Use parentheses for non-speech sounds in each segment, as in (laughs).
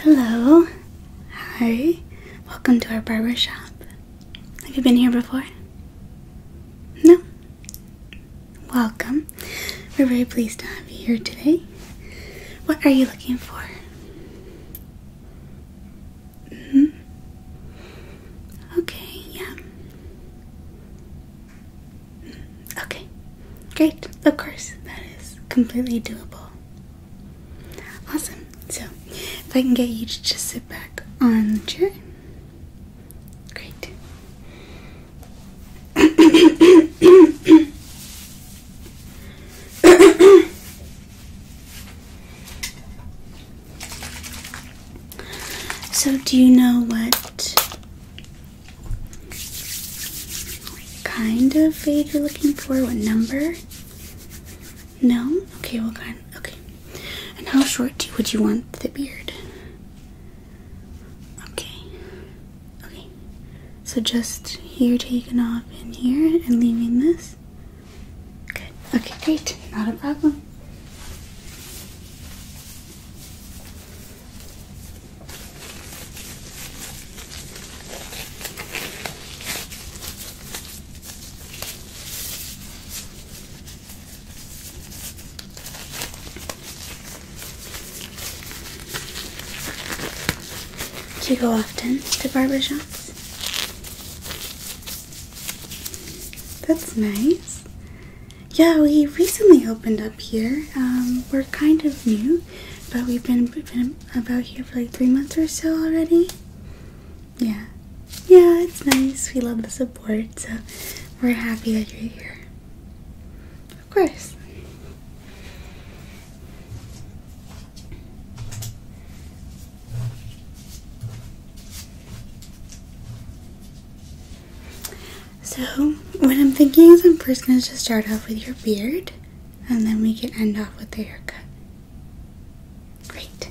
Hello. Hi. Welcome to our barber shop. Have you been here before? No. Welcome. We're very pleased to have you here today. What are you looking for? hmm Okay, yeah. Okay, great. Of course, that is completely doable. Awesome. So, if I can get you to just sit back on the chair. Great. (coughs) so, do you know what kind of fade you're looking for? What number? No? Okay, well, kind okay. And how short would you want the beard? Okay. Okay. So just here taking off in here and leaving this? Good. Okay, great. Not a problem. Do you go often to barbershops? That's nice. Yeah, we recently opened up here. Um, we're kind of new, but we've been, been about here for like three months or so already. Yeah. Yeah, it's nice. We love the support, so we're happy that you're here. Of course. So, what I'm thinking is I'm first going to just start off with your beard and then we can end off with the haircut. Great.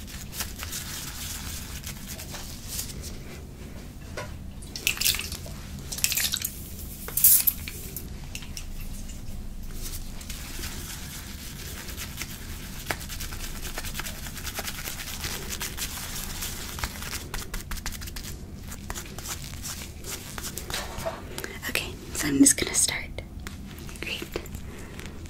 Okay, so I'm just gonna start. Great.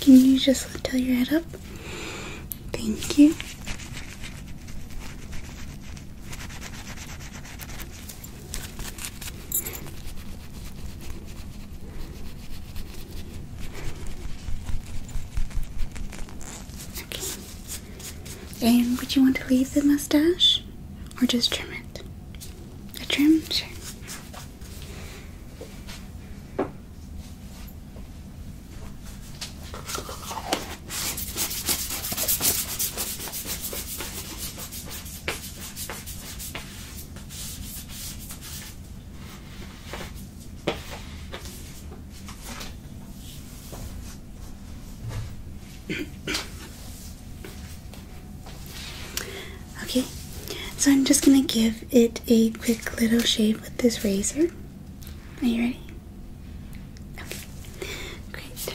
Can you just tilt your head up? Thank you. Okay. And would you want to leave the mustache or just trim it? A trim? Sure. Okay, so I'm just gonna give it a quick little shave with this razor. Are you ready? Okay, great.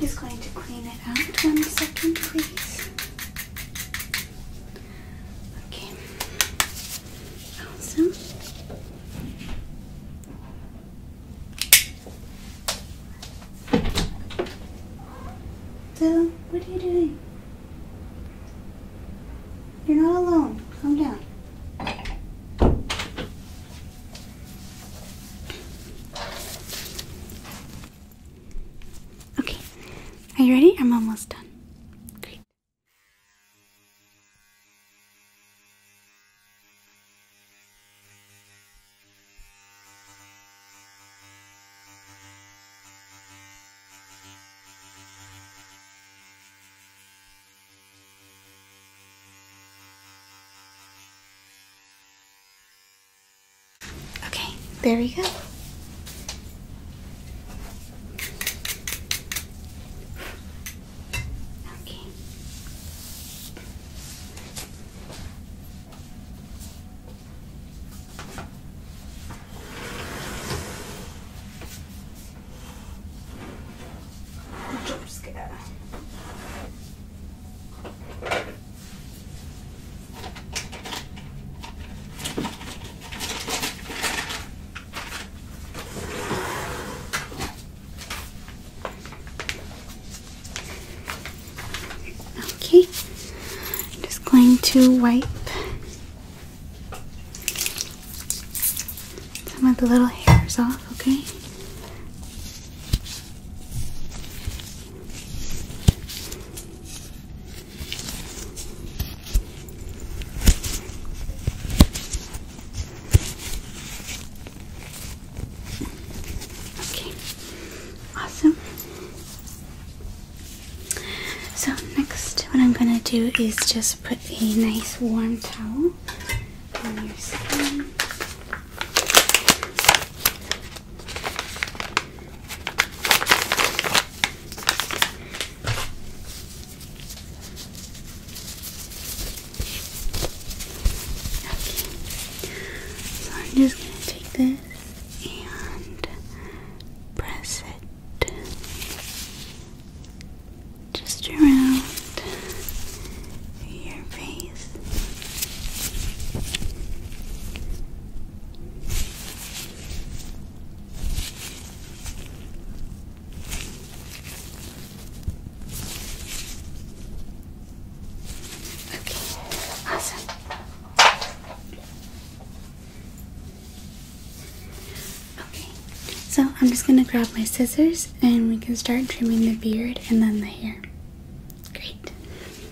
Just going to clean it out one second, please. Okay. Awesome. Dylan, what are you doing? You're not alone. Calm down. Okay, are you ready? I'm almost done. Great. Okay, there we go. Okay. I'm just going Okay, I'm just going to wipe some of the little hairs off, okay? Okay, awesome. So, next, what I'm gonna do is just put a nice warm towel on your skin. So I'm just going to take this and press it just around your face. Okay, awesome. Okay, so I'm just gonna grab my scissors and we can start trimming the beard and then the hair. Great.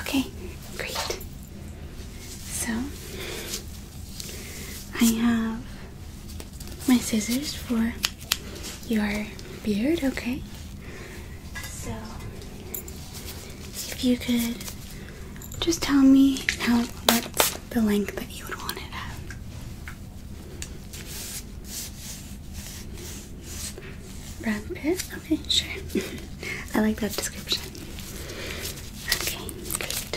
Okay, great. So I have my scissors for your beard, okay? So, if you could just tell me how what's the length that you would want it at. Brad Pitt? Okay, sure. (laughs) I like that description. Okay, great.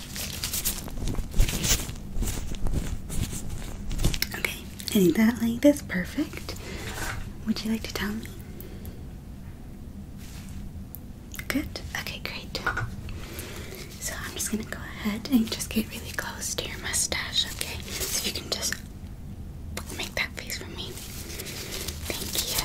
Okay, I that like is perfect. Would you like to tell me? Good. Okay, great. So I'm just gonna go ahead and just get really close to your mustache, okay? So if you can just make that face for me. Thank you.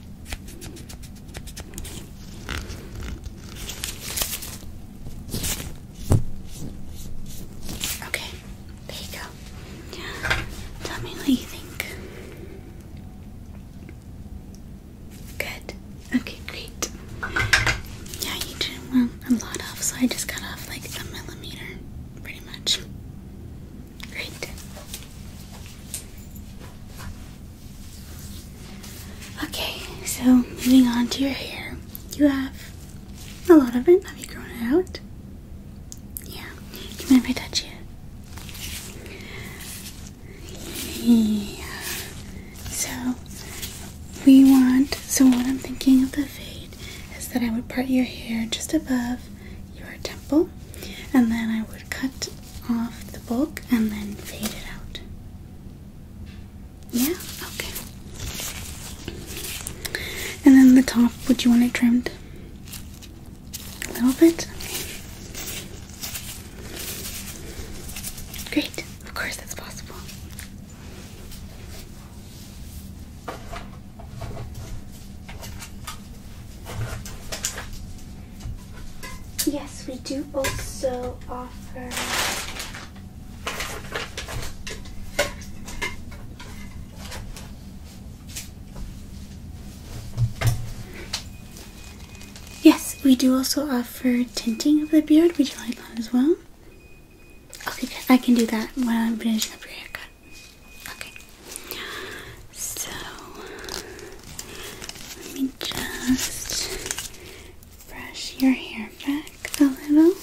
Okay, there you go. Tell me what you think. Good. Okay, great. Yeah, you did well a lot off, so I just cut off like a millimeter, pretty much. Great. Okay, so moving on to your hair. You have a lot of it. Have you grown it out? Yeah. Do you mind if I touch it? Yeah. So we want, so what I'm thinking of the fade is that I would part your hair just above your temple and then I would cut off the book and then fade it out. Yeah? Okay. And then the top, would you want it trimmed? A little bit? Great. Of course, that's possible. Yes, we do also offer Yes, we do also offer tinting of the beard. Would you like that as well? Okay, I can do that when I'm finishing up your haircut. Okay. So let me just brush your hair back a little.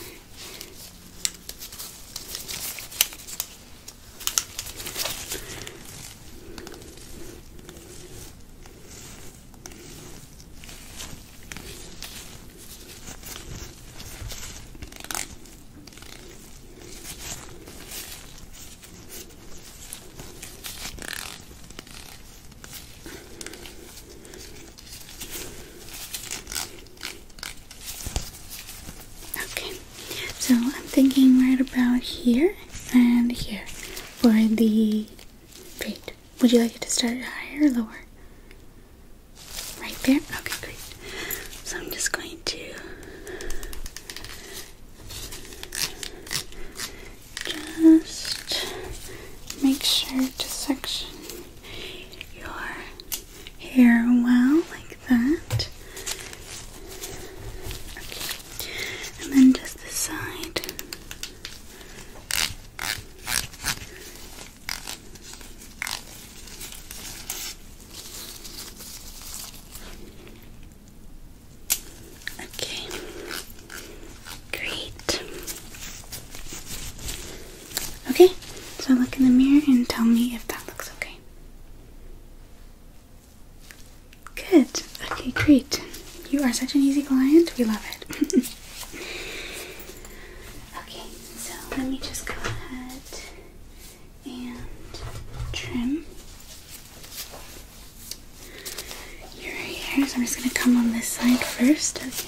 Okay, so I'm thinking right about here and here for the braid. Would you like it to start higher or lower? Right there? Okay, great. So I'm just going to just make sure to section your hair well, like that. And then just the side. Okay, great. Okay, so look in the mirror and tell me if that looks okay. Good. Okay, great. You are such an easy client. We love it. (laughs) okay, so let me just go ahead and trim your hair. So I'm just going to come on this side first, okay? So.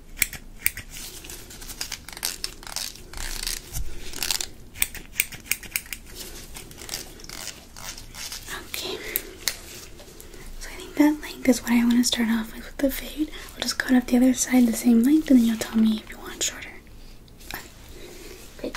Okay, so I think that length is what I want to start off with with the fade. i will just cut off the other side the same length, and then you'll tell me if you want shorter. Great.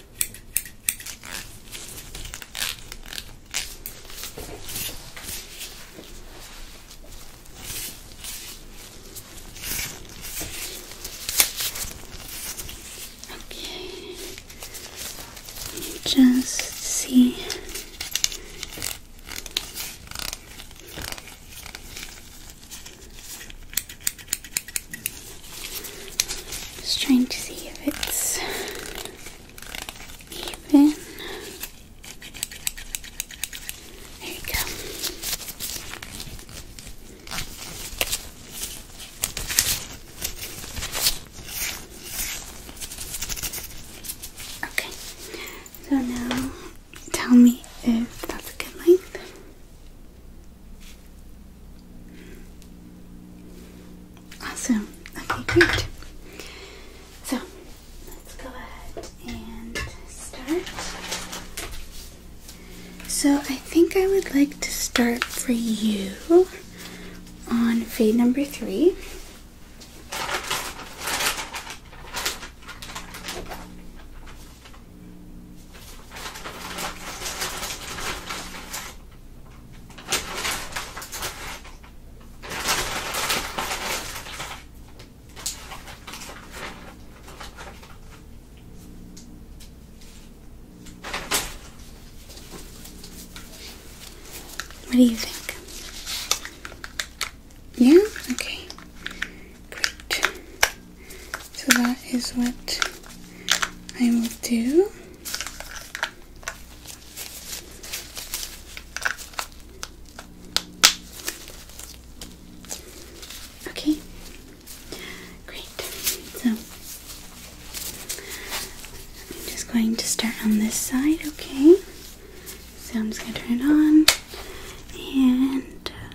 Okay, just see. Just trying to see if it's even. There you go. Okay, so now tell me if that's a good length. Awesome. Okay, great. So let's go ahead and start. So I think I would like to start for you on fade number three. What do you think? Yeah? Okay. Great. So that is what I will do. Okay, great. So I'm just going to start on this side, okay? So I'm just going to turn it on and uh,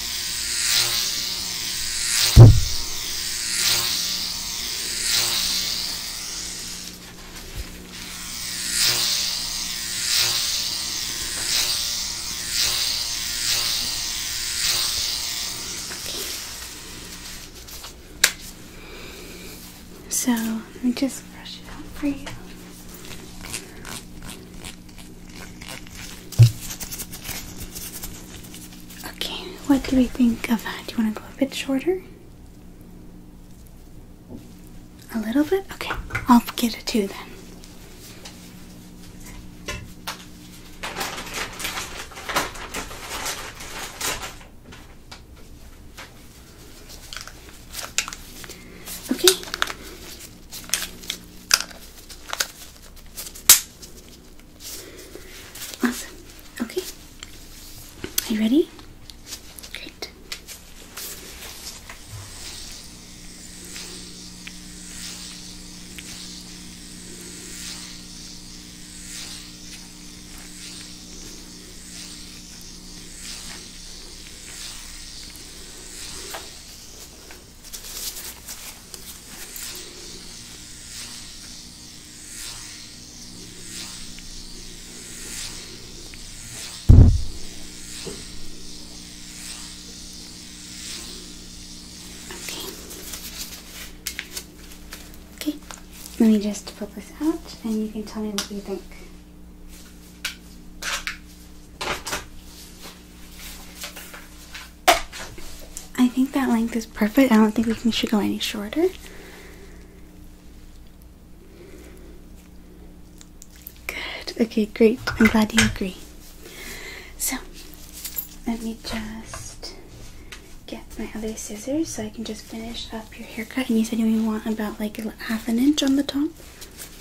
So let me just brush it out for you. Okay. Okay, what do we think of that? Do you want to go a bit shorter? A little bit? Okay, I'll get a two then. Okay. Awesome. Okay. Are you ready? Great. Okay. Let me just pull this out and you can tell me what you think. I think that length is perfect. I don't think we should go any shorter. Good. Okay, great. I'm glad you agree. So, let me just get my other scissors so I can just finish up your haircut. And you said you only want about like half an inch on the top.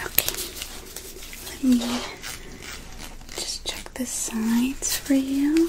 Okay, let me just check the sides for you.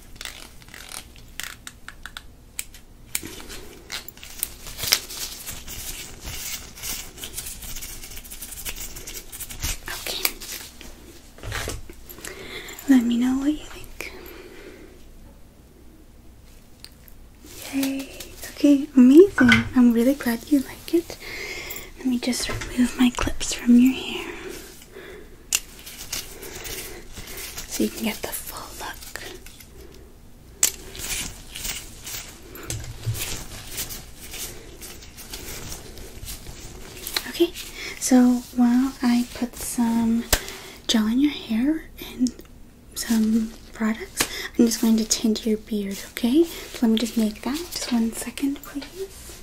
Okay. Let me know what you think. Yay. Okay, amazing. I'm really glad you like it. Let me just remove my clips from your hair so you can get the full look. Okay, so while I put some gel in your hair and some products, I'm just going to tint your beard, okay? let me just make that. Just one second, please.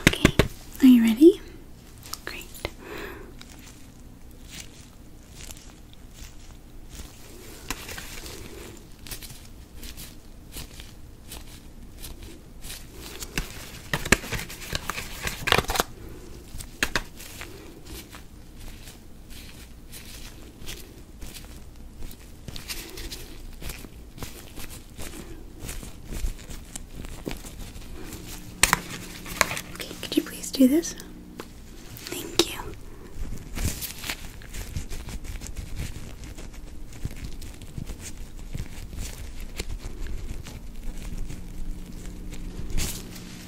Okay, are you ready? Great. Okay, could you please do this? Thank you.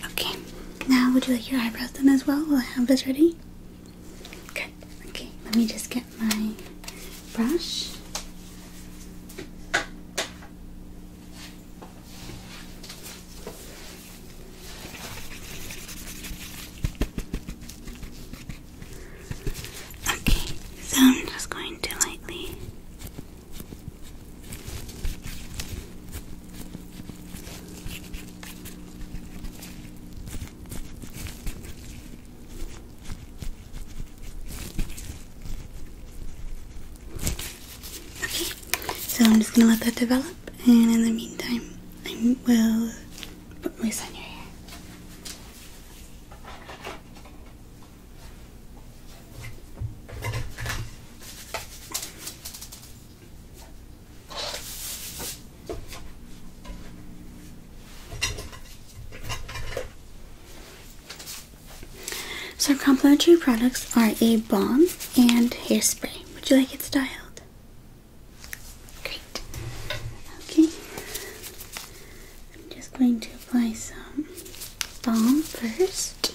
Okay, now would you like your eyebrows done as well? Will I have this ready? Good. Okay, let me just get my brush. Okay, so I'm just going to lightly Okay, so I'm just gonna let that develop, and in the meantime, I will put mousse on your hair. So our complimentary products are a balm and hairspray. Would you like it styled? Great. Okay. I'm just going to apply some balm first.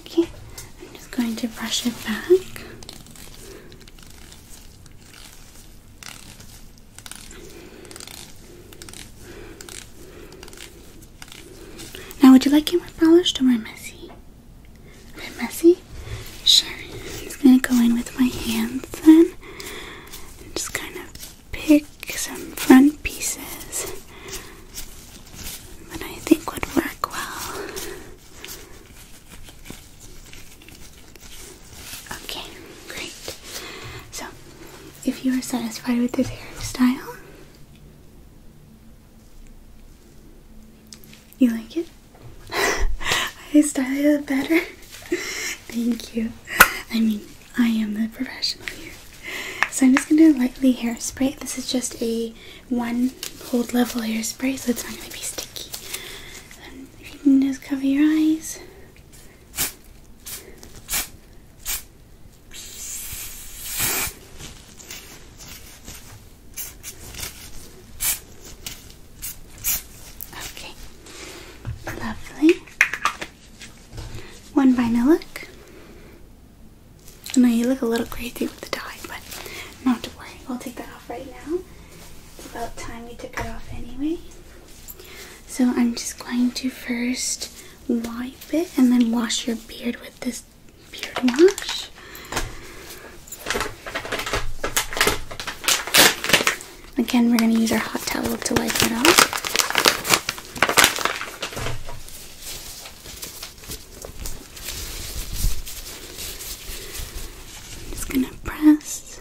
Okay, I'm just going to brush it back. Now, would you like it more polished or more messy? A bit messy? Sure. I'm just going to go in with my hands then and just kind of pick some front pieces but I think would work well. Okay, great. So, if you are satisfied with this hairstyle, you like it? (laughs) I style it better. (laughs) Thank you. I mean, I am the professional here. So I'm just going to lightly hairspray. This is just a one hold level hairspray, so it's not going to be sticky. And you can just cover your eyes. Okay, lovely. One by look. I know you look a little crazy with the dye, but not to worry. We'll take that off right now. It's about time we took it off anyway. So I'm just going to first wipe it and then wash your beard with this beard wash. Again, we're going to use our hot towel to wipe it off. I'm just gonna press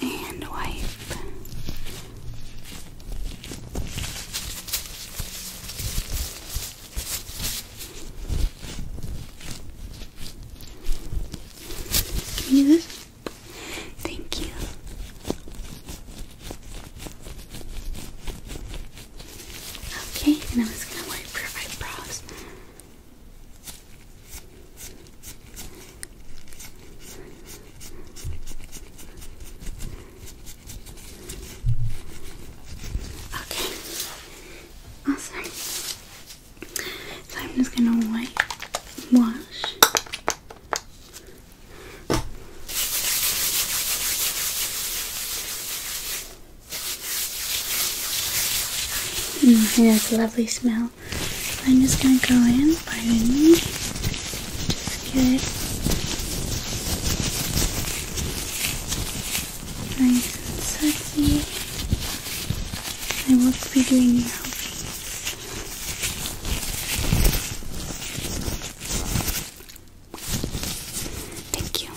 and wipe. Can you this? Thank you. Okay, and I'm just gonna wipe your eyebrows. Okay, awesome. So I'm just gonna wipe, wash Mm, it has a lovely smell. I'm just gonna go in, pardon me. Just get it nice and sexy. I will be doing the Thank you.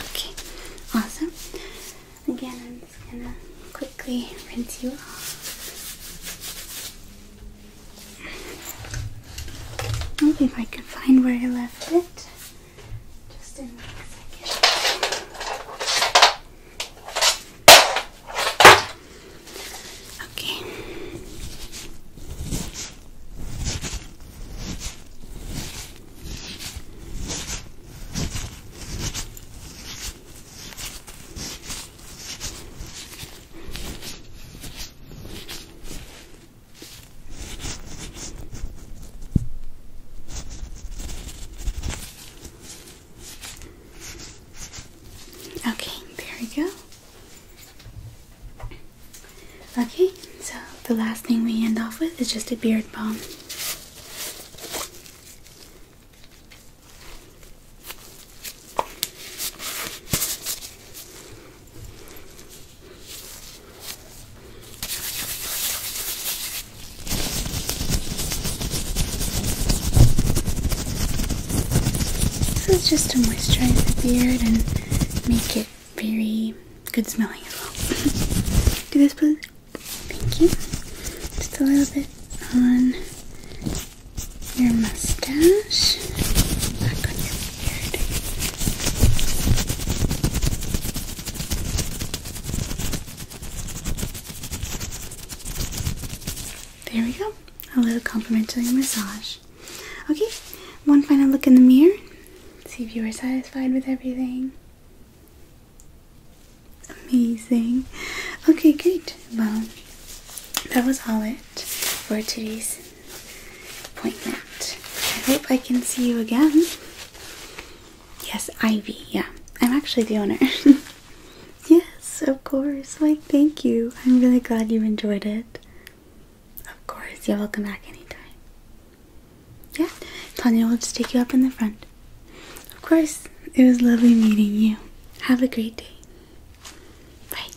Okay, awesome. Again, I'm just gonna quickly rinse you off. Maybe if I can find where I left it. Just in a second. Okay. Okay, there we go. Okay, so the last thing we end off with is just a beard balm. This is just to moisturize the beard and make it very good smelling as well. (laughs) Do this, please. Thank you. Just a little bit on your mustache, back on your beard. There we go. A little complimentary massage. Okay, one final look in the mirror. See if you are satisfied with everything. Amazing. Okay, great. Well, that was all it for today's appointment. I hope I can see you again. Yes, Ivy, yeah. I'm actually the owner. (laughs) yes, of course. Like, thank you. I'm really glad you enjoyed it. Of course, you're welcome back anytime. Yeah, Tanya will just take you up in the front. Of course, it was lovely meeting you. Have a great day. Bye.